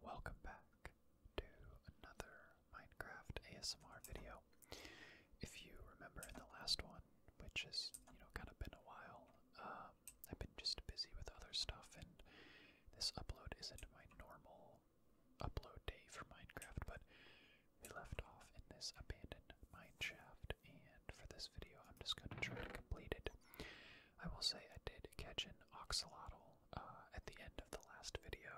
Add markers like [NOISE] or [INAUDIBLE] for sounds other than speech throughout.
Welcome back to another Minecraft ASMR video. If you remember the last one, which has you know kind of been a while, um, I've been just busy with other stuff, and this upload isn't my normal upload day for Minecraft. But we left off in this abandoned mine shaft, and for this video, I'm just going to try to complete it. I will say I did catch an oxalotl uh, at the end of the last video.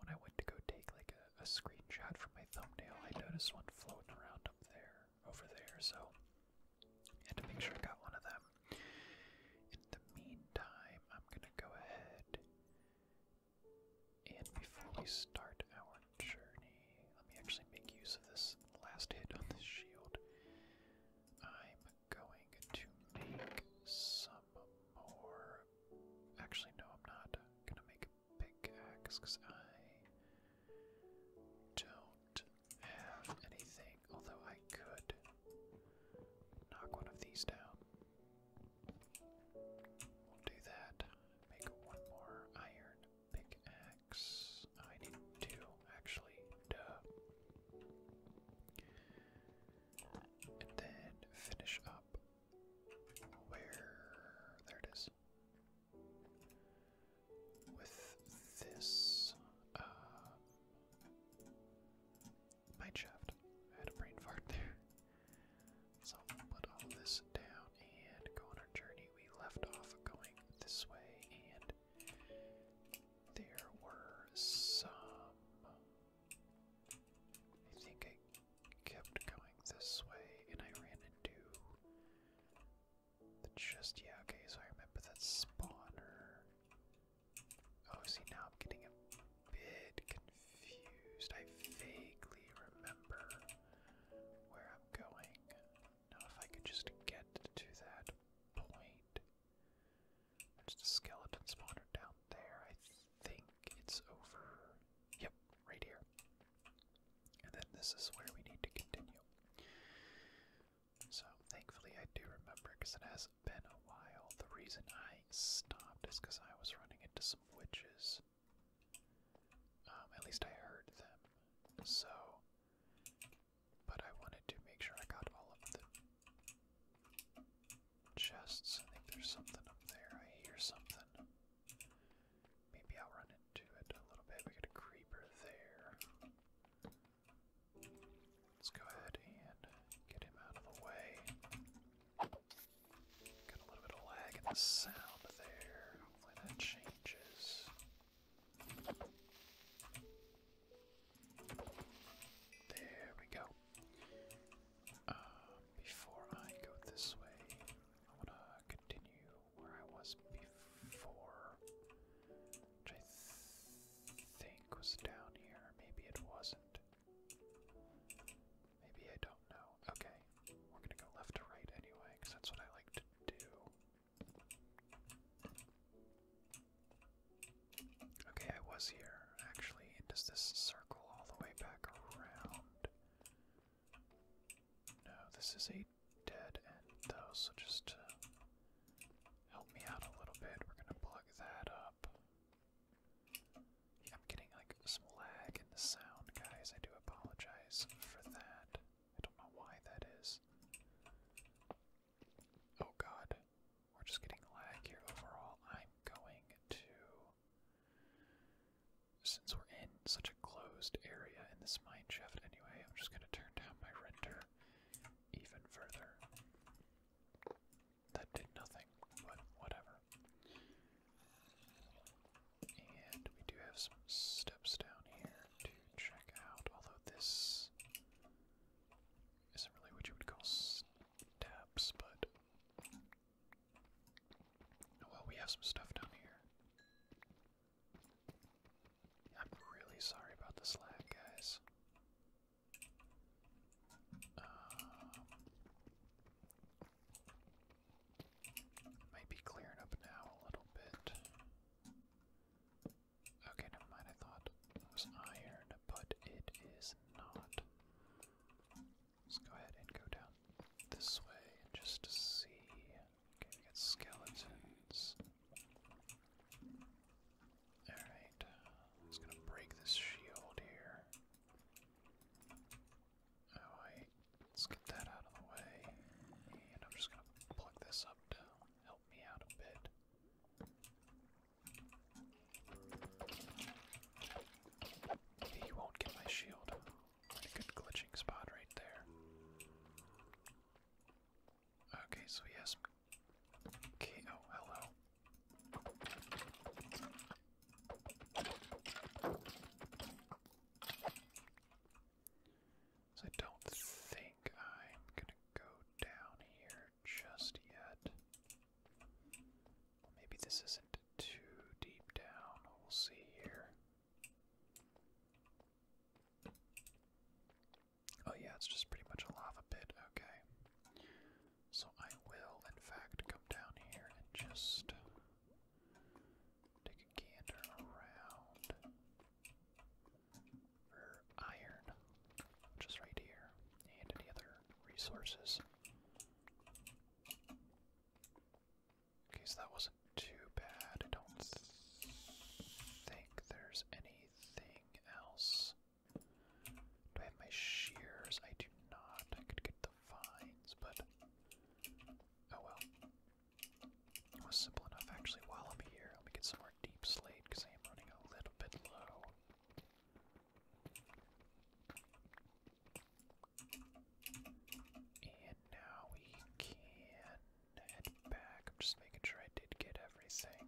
When I went to go take like a, screenshot from my thumbnail, I noticed one floating around up there, over there, so I had to make sure I got one of them. In the meantime, I'm gonna go ahead and before we start our journey, let me actually make use of this last hit on this shield. I'm going to make some more. Actually, no, I'm not gonna make a pickaxe because I don't have anything. Although I could knock one of these down. We'll do that. Make one more iron pickaxe. I need two, actually. Duh. And then finish up where there it is. With this uh, night shaft. I had a brain fart there. So put all this down and go on our journey. We left off going this way and there were some. I think I kept going this way and I ran into the chest. Yeah, okay, so I remember that spawner. Oh, see, now I'm getting a bit confused. I vaguely remember where I'm going. Now, if I could just get to that point. There's a skeleton spawner down there. I think it's over. Yep, right here. And then this is where we need to continue. So, thankfully, I do remember because it has been a while. The reason I stopped is because I was running into some witches. Um, at least I heard them. So, but I wanted to make sure I got all of the chests. I think there's something up there. I hear something. Maybe I'll run into it a little bit. We got a creeper there. Let's go ahead and get him out of the way. Got a little bit of lag in the sound there. Hopefully that changes. There we go. Uh, before I go this way, I want to continue where I was before, which I think was down here. Maybe it wasn't. Maybe I don't know. Okay, we're gonna go left to right anyway, that's what I like to do. Okay, I was here, actually. Does this circle all the way back around? No, this is a dead end, though, so just help me out a little bit, we're gonna plug that up. I'm getting, like, some lag in the sound, guys. I do apologize for that. I don't know why that is. Oh god. We're just getting lag here overall. I'm going to. Since we're in such a closed area in this mine shaft anyway, I'm just going to turn down my render even further. That did nothing, but whatever. And we do have some steps down here to check out, although this isn't really what you would call steps, but. well, we have some stuff down here. I'm really sorry about this lag, guys. Um, might be clearing up now a little bit. Okay, never mind. I thought it was iron, but it is not. Let's go ahead and go down this way and just see. Okay, we skeletons. Alright, just gonna break this shield here. Alright, let's get that out of the way. And I'm just gonna plug this up to help me out a bit. He won't get my shield. good glitching spot right there. Okay, so yes. Okay, oh, hello. So I don't think I'm gonna go down here just yet. Maybe this isn't too deep down. We'll see here. Oh, yeah, it's just pretty much a lava pit. Okay. So I will, in fact, come down here and just take a gander around for iron, which right here, and any other resources. Okay, so that wasn't too bad. I don't think there's anything else. Do I have my shears? I do not. I could get the vines, but oh well. It was simple enough actually. While I'm here, let me get some more deep slate because I am running a little bit low. And now we can head back. I'm just making sure I did get everything.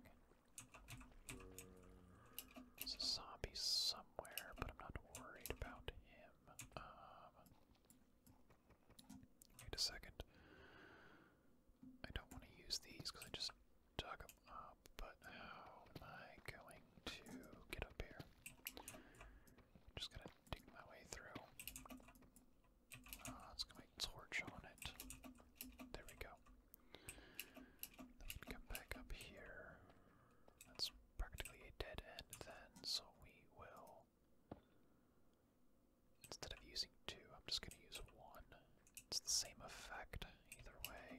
There's a zombie somewhere, but I'm not worried about him. Um, wait a second. I don't want to use these because I just dug them up, but how am I going to get up here? Just going to dig my way through. let's ah, get my torch on it. There we go. Then we come back up here. That's practically a dead end then, so we will... Instead of using two, I'm just going to use one. It's the same effect either way.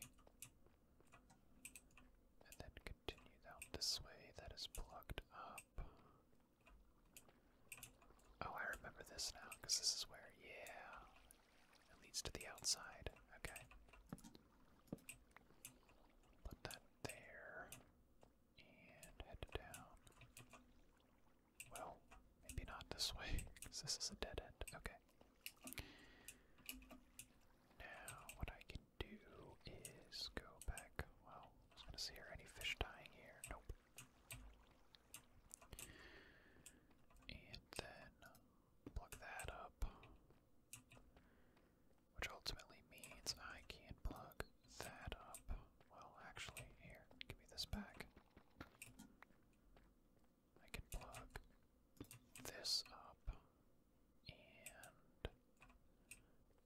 And then continue down this way. That is plugged up. Oh, I remember this now, because this is where, yeah, it leads to the outside. Okay. Put that there. And head down. Well, maybe not this way, because this is a dead end. Okay. Now, what I can do is go back. Well, I was see, are any fish dying here? Nope. And then plug that up. Which ultimately means I can not plug that up. Well, actually, here, give me this back. I can plug this up, and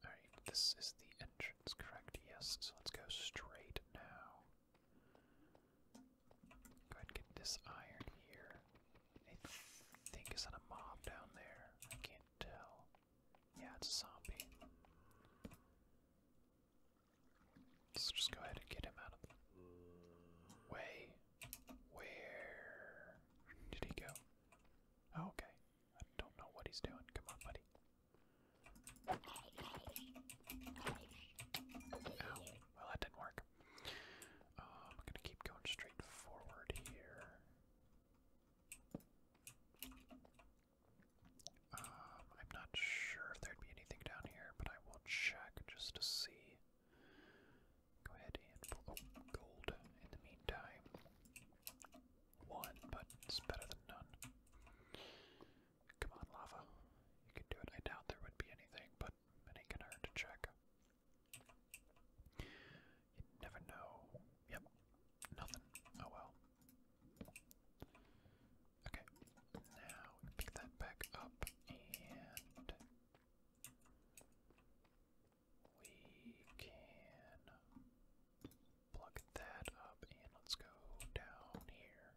alright, this is the entrance, correct? Yes, so let's go straight now. Go ahead and get this iron here. I think is that a mob down there? I can't tell. Yeah, it's a zombie. Let's just go ahead and get him out of the way. Where did he go? Oh, okay. I don't know what he's doing. Come on, buddy. Well, that didn't work. Um, I'm going to keep going straight forward here. Um, I'm not sure if there'd be anything down here, but I will check just to see. Go ahead and pull oh, gold in the meantime. One, but it's better than none. Come on, lava. You can do it. I doubt there would be anything, but it ain't gonna check. You never know. Yep. Nothing. Oh well. Okay, now we pick that back up and we can plug that up and let's go down here.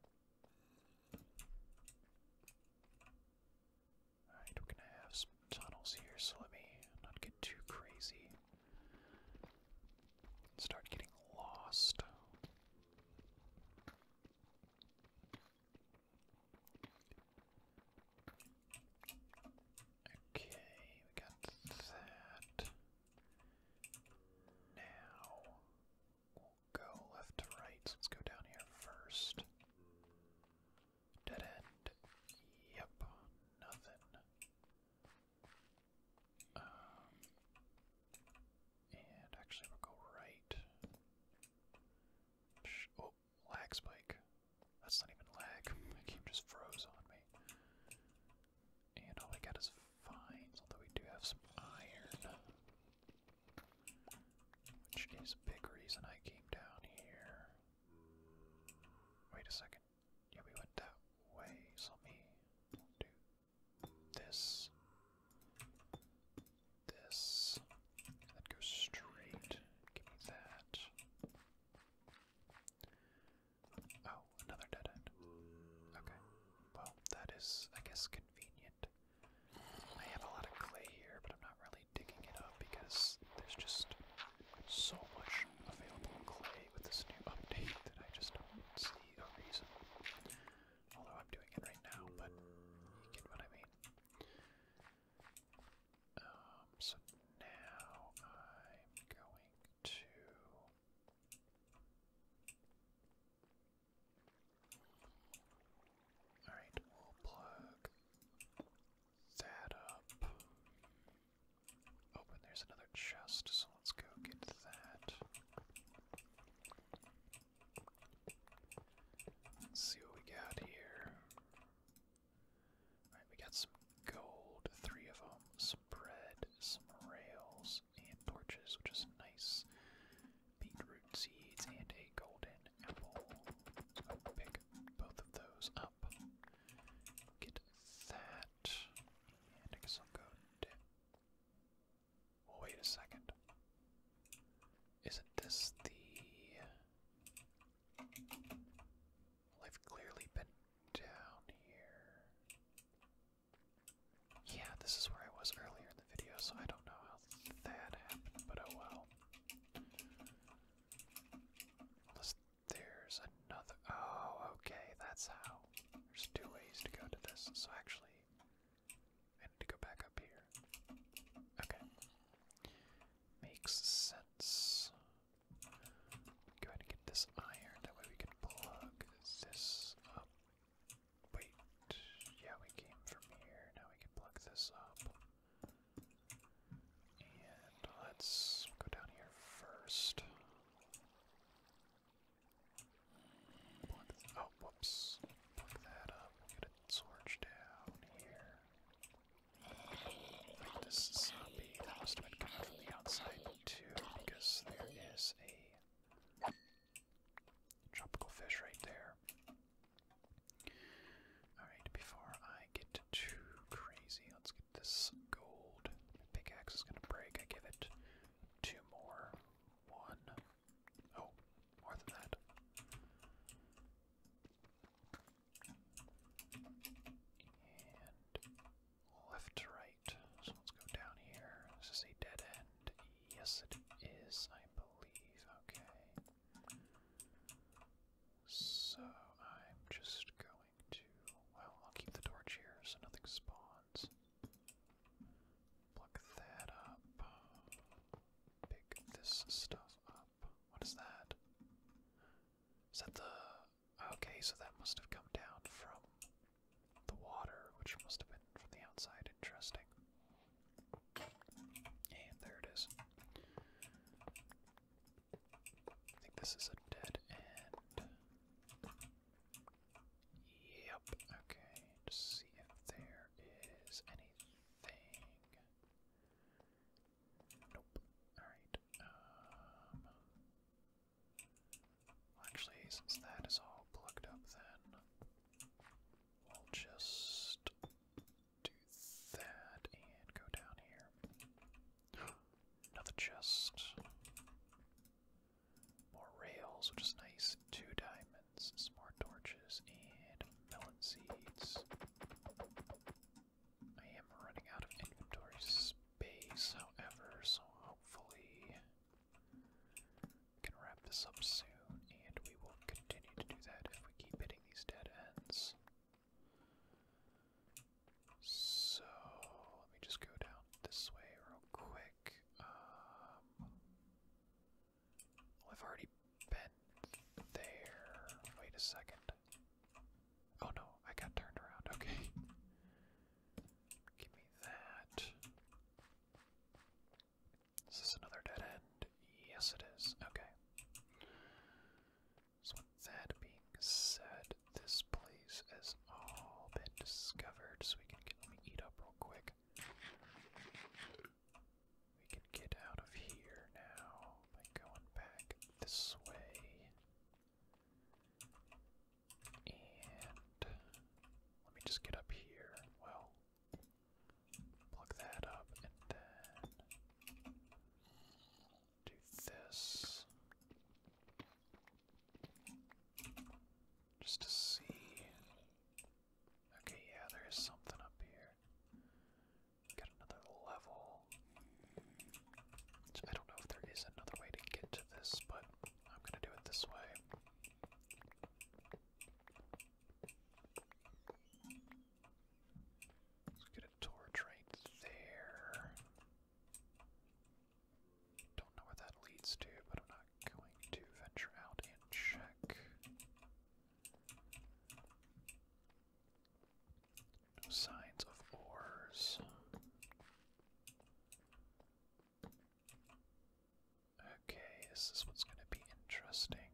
Alright, we're gonna have tunnels here, so let me not get too crazy. Start getting lost. Okay, we got that. Now we'll go left to right. let's go down here first. Dead end. Yep, nothing. Um, and actually, we'll go right. oh, lag spike. That's not even lag. My game just froze on me. And all we got is vines, although we do have some iron. Which is a big reason I came down here. Wait a second. Yeah, we went that way, so let do this this. That goes straight. Give me that. Oh, another dead end. Okay. Well, that is, I guess, convenient. I have a lot of clay here, but I'm not really digging it up because there's just so much available clay with this new update that I just don't see a reason Although I'm doing it right now, but you get what I mean. Um, so now I'm going to. Alright, we'll plug that up. Open, oh, there's another chest, so let's go get that. Let's see what we got here. Alright, we got some gold, three of them, some bread, some rails, and torches, which is nice. Beetroot seeds and a golden apple. I'll pick both of those up. Get that. And I guess I'll go Oh, wait a second. Isn't this the. I've clearly been down here. Yeah, this is where I was earlier in the video, so I don't know how that happened, but oh well. Unless there's another. Oh, okay, that's how. There's two ways to go to this, so actually. I need to go back up here. Okay. Makes sense. Go ahead and get this iron, that way we can plug this up. Wait, yeah, we came from here, now we can plug this up. And let's go down here first oh, whoops. Pluck that up. get a torch down here. this zombie that must have been coming from the outside too, because there is a tropical fish right there. Alright, before I get too crazy, let's get this gold. pickaxe is gonna break. I give it two more. One, Oh, more than that. And left to right. So let's go down here. This is a dead end. Yes, it is, I believe. Okay. So I'm just going to. Well, I'll keep the torch here so nothing spawns. Pluck that up. Pick this stuff up. What is that? Is that the. Okay, so that must have come down from the water, which must have been from the outside. Interesting. And there it is. I think this is a dead end. Yep, okay if there is anything. Nope. Alright. Um, actually, since that is all plugged up, then we'll just do that and go down here. [GASPS] Another chest. More rails, which is nice two diamonds, smart torches, and melon seeds. I am running out of inventory space, however, so hopefully we can wrap this up soon, and we will continue to do that if we keep hitting these dead ends. So, let me just go down this way real quick. Um, I've already been there. Wait a second. Oh no, I got turned around. Okay. Give me that. Is this another dead end? Yes, it is. Okay. So, that being said, this place has all been discovered. So, we can eat up real quick. We can get out of here now by going back this way. And let me just get up here. Well, plug that up and then do this. Just to see Okay, yeah, there is something up here. Got another level. I don't know if there is another way to get to this, but I'm gonna do it this way. Let's get a torch right there. Don't know where that leads to, but I'm not going to venture out and check. No signs of ores. Okay, this is what's going to be interesting.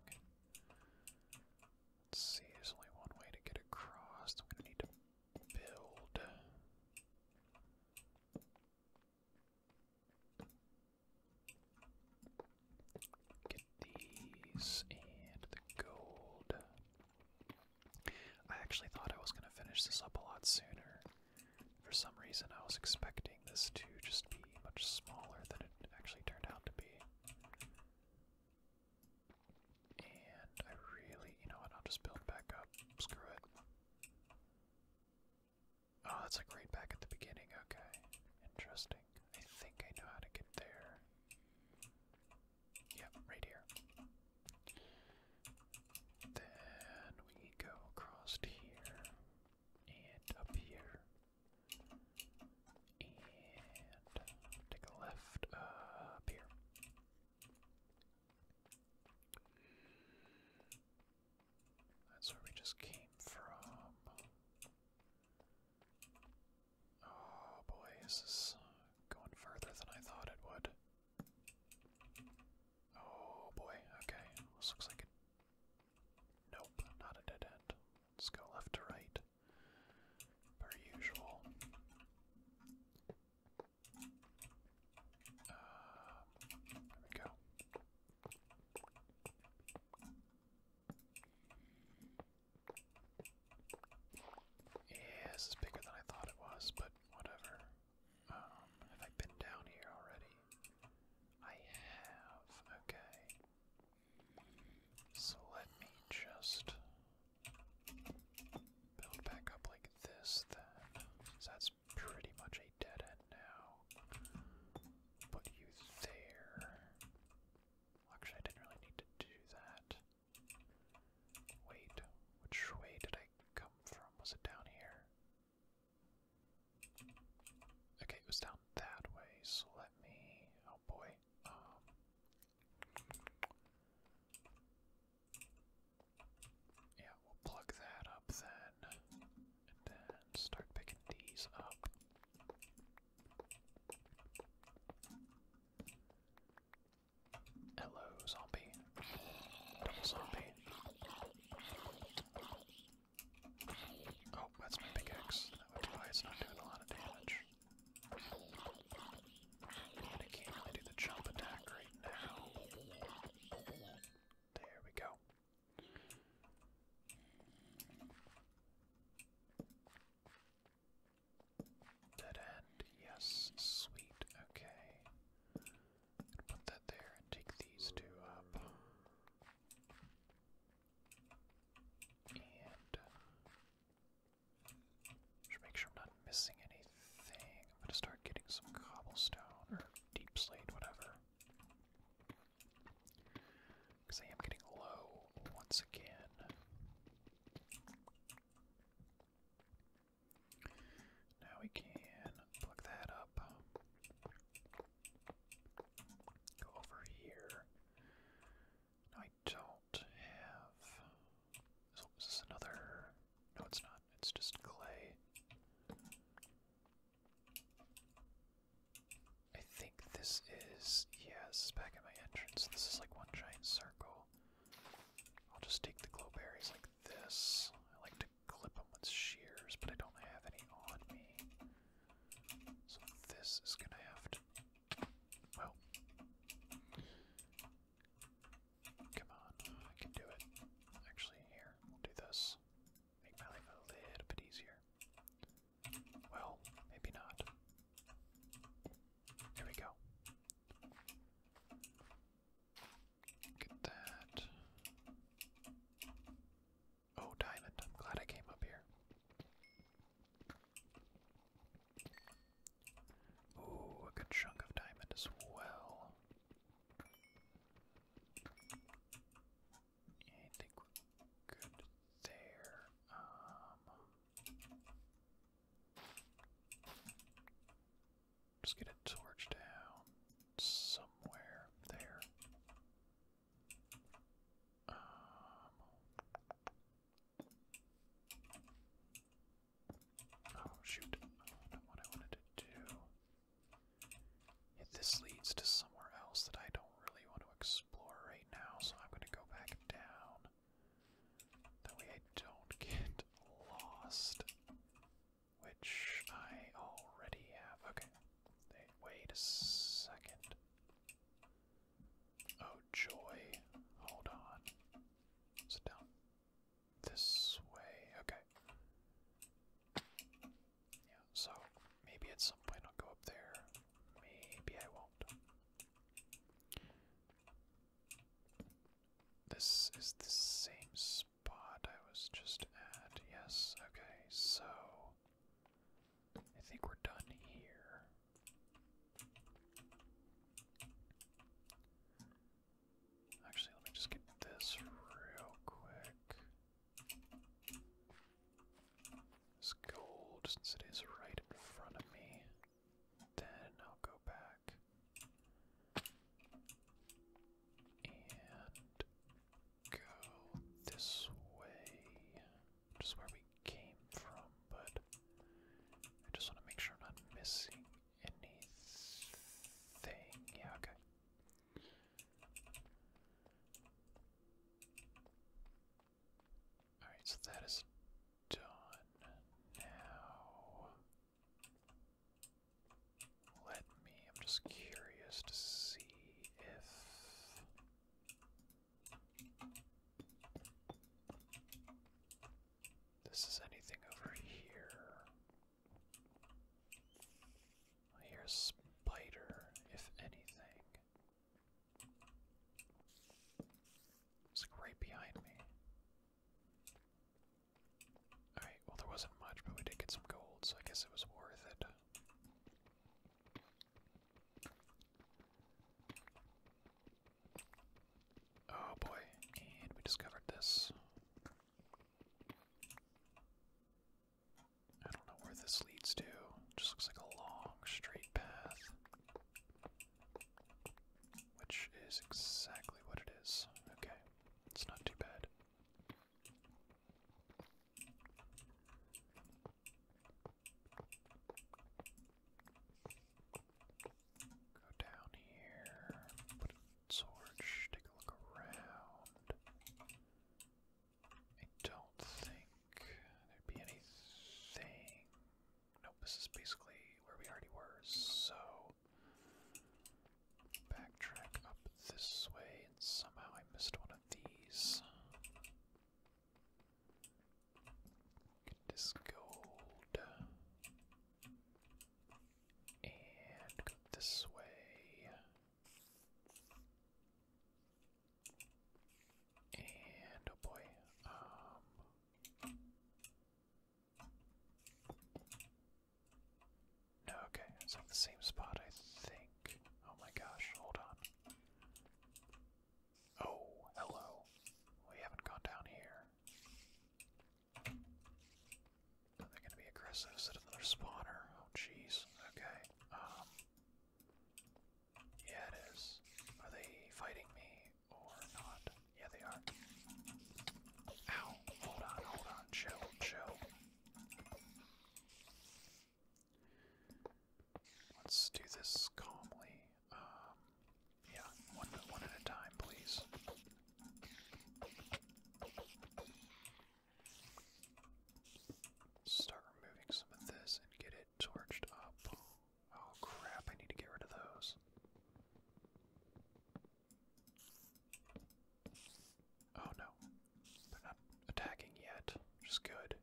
Let's see, there's only one way to get across. I'm going to need to build. Get these and the gold. I actually thought I was going to finish this up a lot sooner. For some reason, I was expecting this to just be much smaller than it actually turned out to be. And I really, you know what, I'll just build back up. Screw it. Oh, that's like right back at the beginning. Okay. Interesting. I think I know how to get there. Yep, right here. Then we go across here and up here. And take a left up here. That's where we just came from. Oh boy, this going further than I thought it would. Oh boy, okay. looks like a. Nope, not a dead end. Let's go left to right. Per usual. Uh, there we go. Yeah, this is bigger than I thought it was, but whatever. Um, have I been down here already? I have, okay. So let me just build back up like this then. that's pretty much a dead end now put you there. Actually, I didn't really need to do that. Wait, which way did I come from? Was it down here? Okay, it was down that way, so let me. Oh boy. Um, yeah, we'll plug that up then. And then start picking these up. Hello, zombie. zombie. Oh, that's my pickaxe. That would why it's not doing a lot of damage. I can't do the jump attack right now. There we go. Dead end, yes, sweet, okay. Put that there and take these two up. And uh, should make sure I'm not missing anything. I'm gonna start getting some cobblestone or deep slate, whatever. Because I am getting low once again. Now we can plug that up. Go over here. I don't have. Oh, is this another? No, it's not. It's just clay. I think this is, yeah, back at my entrance. This is like one giant circle. I'll just take the glow berries like this. I like to clip them with shears, but I don't have any on me. So this is gonna have to. Well. Come on, I can do it. Actually, here, do this. Make my life a little bit easier. Well, maybe not. There we go. Get that. Oh, diamond. I'm glad I came up here. Ooh, a good chunk of diamond as well. I think we're good there. Um, just get a torch down somewhere there. Um, oh shoot! what I wanted to do. If this leads to somewhere else that I don't really want to explore right now, so I'm going to go back down. That way I don't get lost. Which I already have. Okay. wait a second. Oh, joy. Hold on. Is down this way? Okay. Yeah, so maybe at some point I'll go up there. Maybe I won't. This is the same spot I was just at. Yes, okay, so I think we're done here. Actually, let me just get this real quick. It's gold, since it is right in front of me, then I'll go back and go this way, just where we came from, but I just want to make sure I'm not missing anything. okay. Alright, so that is done. Now, let me, I'm just curious to see if. This is anything over here. I hear a spider, if anything. It's right behind me. Alright, well, there wasn't much, but we did get some gold, so I guess it was worth it. Oh boy, and we discovered this. I don't know where this leads to. It just looks like a long, straight path. Which is exactly what it is. Okay, it's not too bad. Go down here, put a torch, take a look around. I don't think there'd be anything. Nope, this is basically where we already were, so backtrack up this way, and somehow I missed one of these. this gold. And this way. And oh boy, um, no, okay, it's on the same spot, I think. Oh my gosh, hold on. Oh, hello. We haven't gone down here. They're gonna be aggressive. Set another spawner. Oh, jeez. Okay. Um. Yeah, it is. Are they fighting me or not? Yeah, they are. Ow! Hold on, hold on. Chill, chill. Let's do this calmly. Um, yeah, one, one at a time, please. Start removing some of this and get it torched up. Oh crap, I need to get rid of those. Oh no, they're not attacking yet, which good.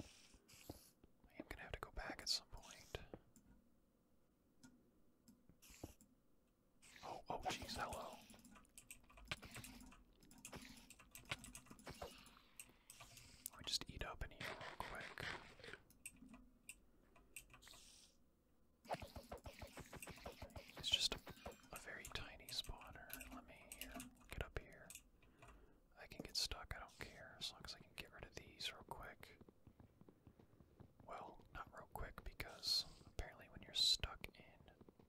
I am gonna have to go back at some point. Oh, oh, jeez, hello. Let just eat up in here real quick. It's just a, very tiny spawner. Let me get up here. I can get stuck, I don't care, as long as I can get rid of these real quick. Well, not real quick because apparently when you're stuck in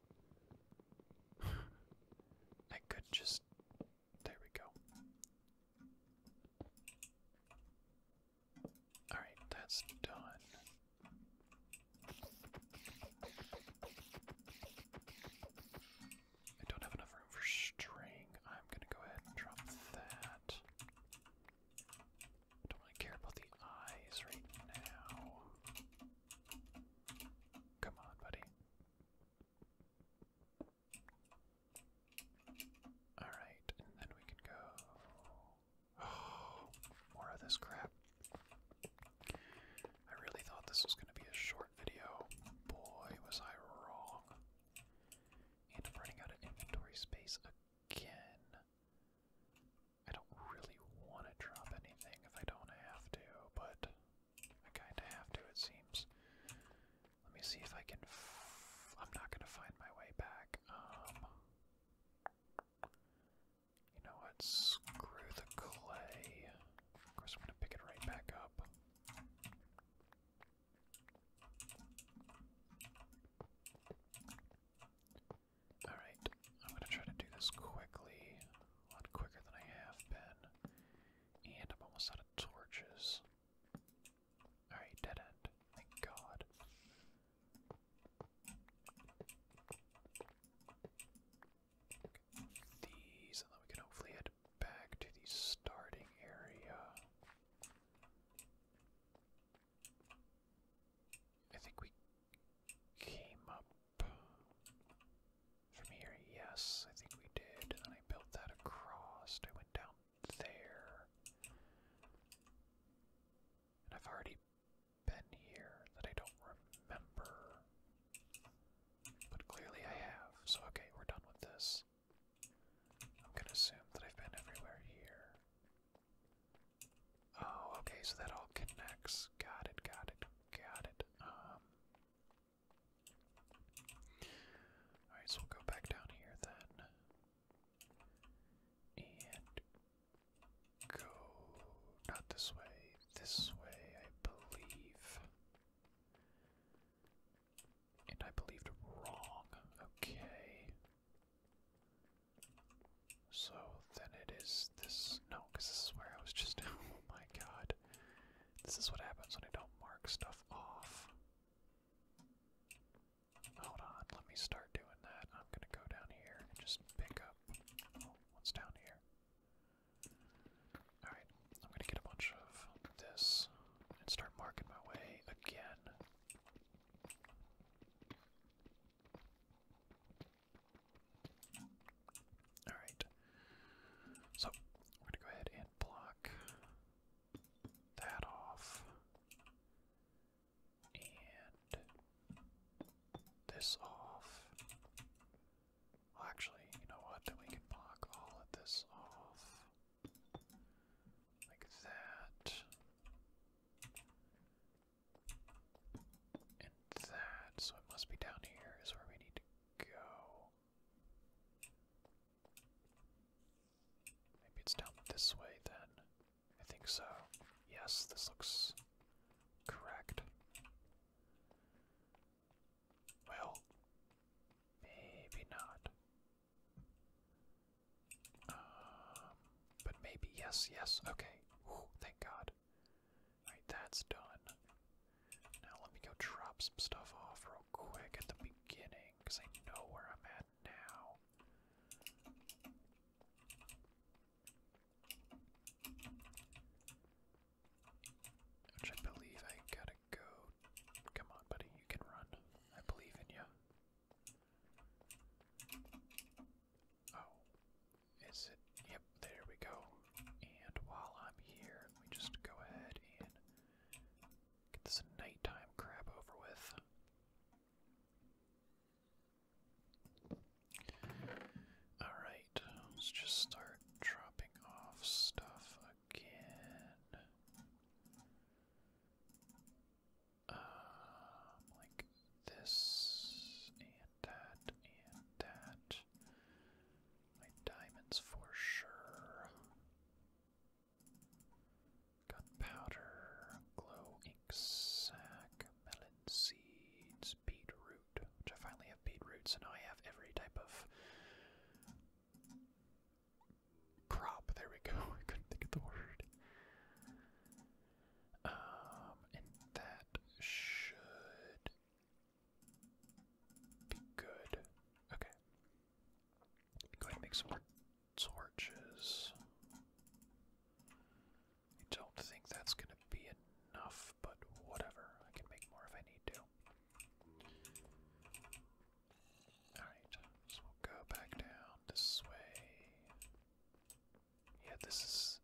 [SIGHS] I could just. There we go. Alright, that's done. I don't have enough room for string. I'm gonna go ahead and drop that. don't really care about the eyes right now. Come on, buddy. Alright, and then we can go. [GASPS] more of this crap. I really thought this was going to be a short video. Boy, was I wrong. And i running out of inventory space again. I don't really want to drop anything if I don't have to, but I kinda have to, it seems. Let me see if I can. F I'm not gonna find my way back. Um. You know what? Screw the clay. Of course, I'm gonna pick it right back up. Alright. I'm gonna try to do this quickly, a lot quicker than I have been. And I'm almost out of torches. Alright, dead end. Thank God. These, and then we can hopefully head back to the starting area. I think we came up from here. Yes, I think we did. And I built that across. I went down there. And I've already been here that I don't remember. But clearly I have. So, okay, we're done with this. I'm gonna assume that I've been everywhere here. Oh, okay, so that all connects. Got it, got it, got it. Um, Alright, so we'll go back down here then. And go not this way, this way, I believe. And I believed wrong. Okay. So then it is this no, because this is where I was just. [LAUGHS] Oh my god. This is what happens when I don't mark stuff off. Hold on, let me start doing that. I'm gonna go down here and just pick up. Oh, what's down here? Alright, I'm gonna get a bunch of this and start marking my way again. Alright. So, we're gonna go ahead and block that off. And this off. actually, you know what? we can block all of this off. Like that that, so it must be down here is where we need to go. Maybe it's down this way then. I think so. Yes, this looks correct. Well, maybe not. Um, but maybe yes, yes. Okay. thank God. Alright, that's done. Now let me go drop some stuff off real quick at the beginning, because I know where I'm at now. Which I believe I gotta go. Come on, buddy, you can run. I believe in you. Oh, is it? Yep, there we go. And while I'm here, let me just go ahead and get this nighttime crap over with. Alright, let's just start dropping off stuff again. Um, like this, and that, and that my diamonds for sure. Gunpowder, glow ink sac, melon seeds, beetroot, which I finally have beetroot, so now I have every type of crop. There we go. [LAUGHS] I couldn't think of the word. Um, and that should good. Okay. Go ahead and make some torches. I don't think that's gonna be enough, but whatever. I can make more if I need to. Alright, so we'll go back down this way. Yeah, this is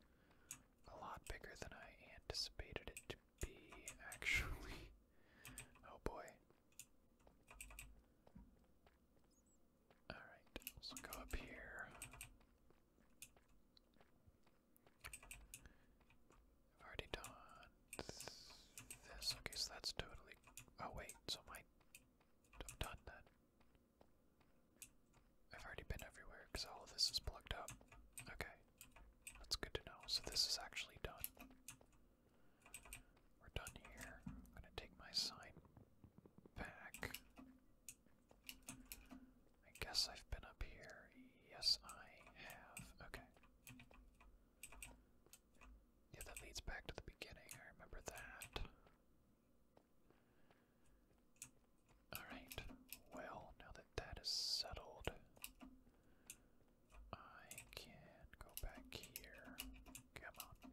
a lot bigger than I anticipated it to be, actually. [LAUGHS] Oh boy. Alright, let go up here. I've already done this. Okay, so that's totally. Oh, wait, so I'm done then. I've already been everywhere because all of this is plugged up. Okay, that's good to know. So this is actually done. We're done here. I'm gonna take my sign back. I guess I've been up here. Yes, I have. Okay. Yeah, that leads back to the beginning. I remember that. Alright, well, now that that is settled, I can go back here. Come on.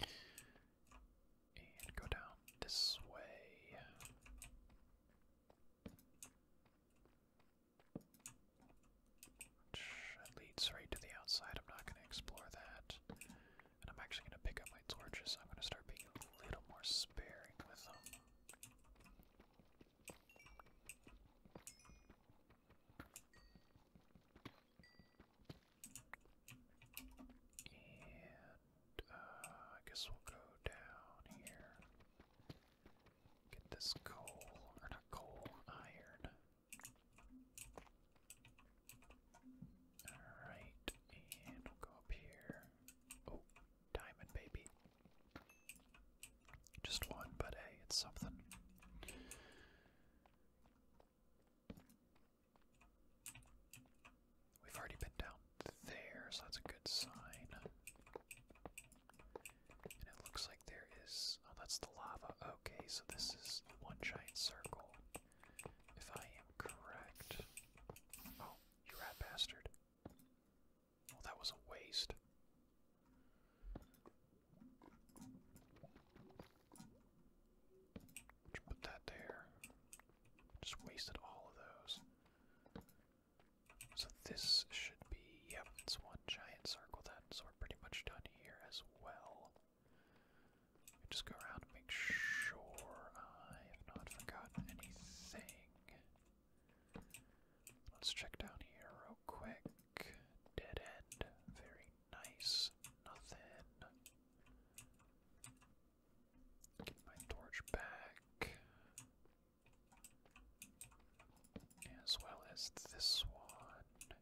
And go down this way. Which leads right to the outside. I'm not going to explore that. And I'm actually going to pick up my torches, I'm going to start being a little more sparing with them. And uh, I guess we'll go down here. Get this coal, or not coal, iron. Alright, and we'll go up here. Oh, diamond, baby. Just one, but hey, it's something. We've already been down there, so that's a good sign. And it looks like there is. Oh, that's the lava. Okay, so this is one giant circle. If I am correct. Oh, you rat bastard. Well, oh, that was a waste. put that there. Just wasted all of those. So this should be, yep, it's one giant circle then, so we're pretty much done here as well. Just go around and make sure I have not forgotten anything. Let's check down here real quick. Dead end. Very nice. Nothing. Get my torch back. As well as this one.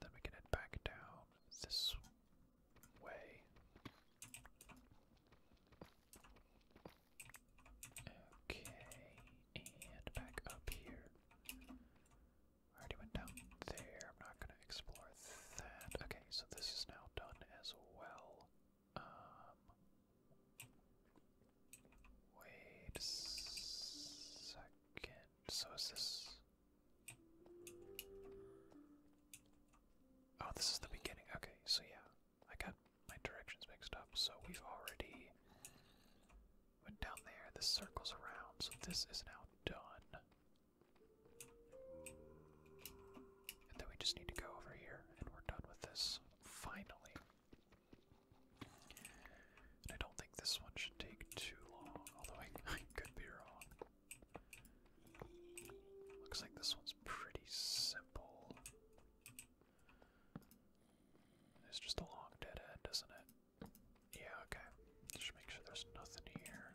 then we can head back down this way. Okay, and back up here. already went down there. I'm not going to explore that. Okay, so this is now done as well. Um, wait a second. So is this? Oh, this is the beginning. Okay, so yeah, I got my directions mixed up. So we've already went down there. This circles around, so this is now done. And then we just need to go over here, and we're done with this. Finally. I don't think this one should take too long, although I [LAUGHS] could be wrong. Looks like this one's pretty simple. It's just a long dead end, isn't it? Yeah, okay. Just make sure there's nothing here.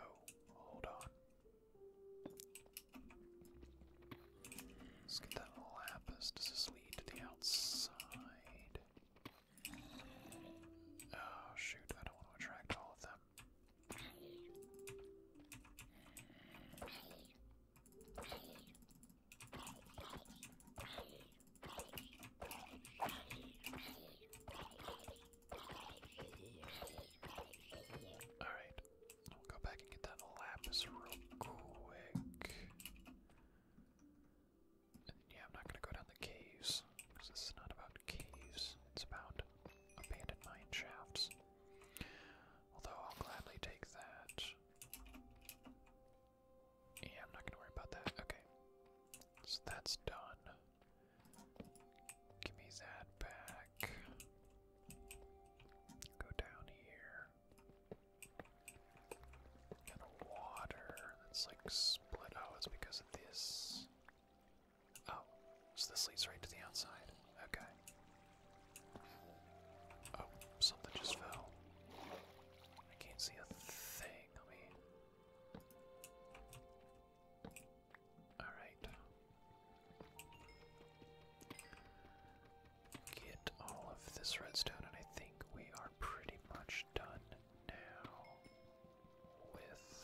Oh, hold on. Let's get that lapis. Does this lead to the outside? Oh shoot, I don't want to attract all of them. Alright, we'll go back and get that lapis real quick yeah, I'm not gonna go down the caves, because this is not about caves, it's about abandoned mine shafts. Although I'll gladly take that. Yeah, I'm not gonna worry about that. Okay. So that's done. Give me that back. Go down here and water that's like split. Oh, it's because of this. Oh, so this leads right to the outside. Okay. Oh, something just fell. I can't see a thing. Let me. Alright. Get all of this redstone, and I think we are pretty much done now with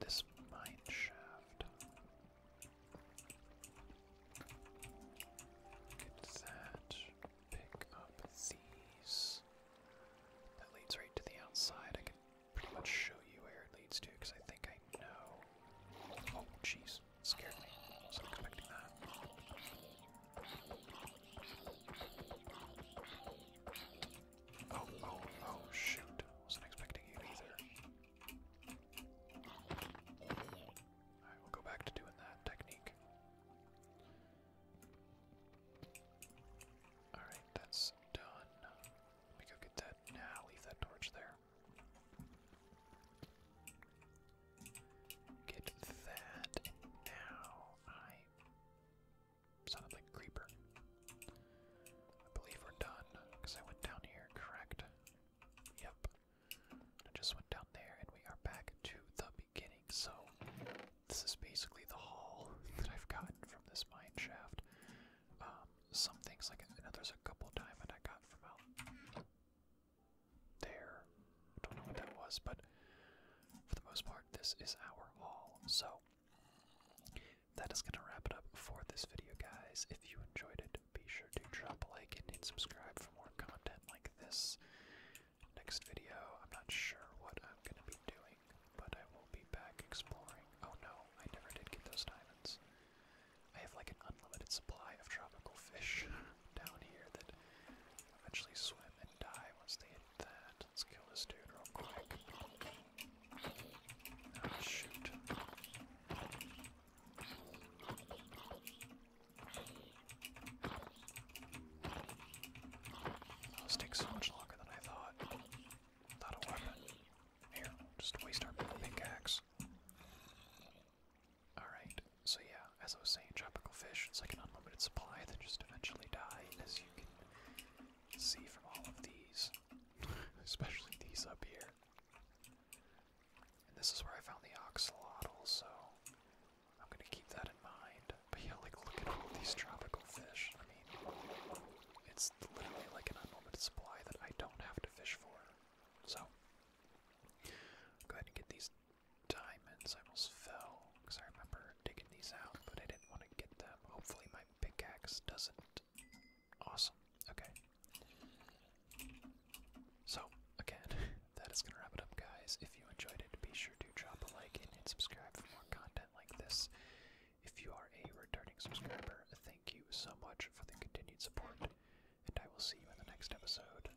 this mine shaft. Get that. Pick up these. That leads right to the outside. I can pretty much show you where it leads to because I think I know. Oh, jeez. Scared me. So i that. Oh, oh, oh, shoot. Wasn't expecting you either. Alright, we'll go back to doing that technique. Alright, that's done. Let me go get that. Nah, leave that torch there. Get that. now I Sounded like creeper. I believe we're done, because I went down here, correct? Yep. I just went down there, and we are back to the beginning. So, this is basically the haul [LAUGHS] that I've gotten from this mine shaft. Um, some things, like, I know there's a couple diamond I got from out there. Don't know what that was, but for the most part, this is our haul. So that is going to wrap it up for this video, guys. If you enjoyed it, be sure to drop a like and subscribe for more content like this. Next video, I'm not sure what I'm going to be doing, but I will be back exploring. Oh no, I never did get those diamonds. I have like an unlimited supply of tropical fish [LAUGHS] down here that eventually swim and die once they hit that. Let's kill this dude real quick. Oh, shoot. Those take so much longer than I thought. Not a weapon. Here, just waste our pickaxe. Alright, so yeah, as I was saying, tropical fish, it's like an unlimited supply that just eventually die, as you can see from all of these, [LAUGHS] especially these up here. And this is where I found the oxalotl, so I'm gonna keep that in mind. But yeah, like, look at all these tropical fish. I mean, it's literally like an unlimited supply that I don't have to fish for. So, go ahead and get these diamonds. I almost fell because I remember digging these out, but I didn't want to get them. Hopefully, my pickaxe doesn't. Awesome. Okay. So, again, [LAUGHS] that is going to wrap it up, guys. If you enjoyed it, be sure to drop a like and subscribe for more content like this. If you are a returning subscriber, thank you so much for the continued support, and I will see you in the next episode.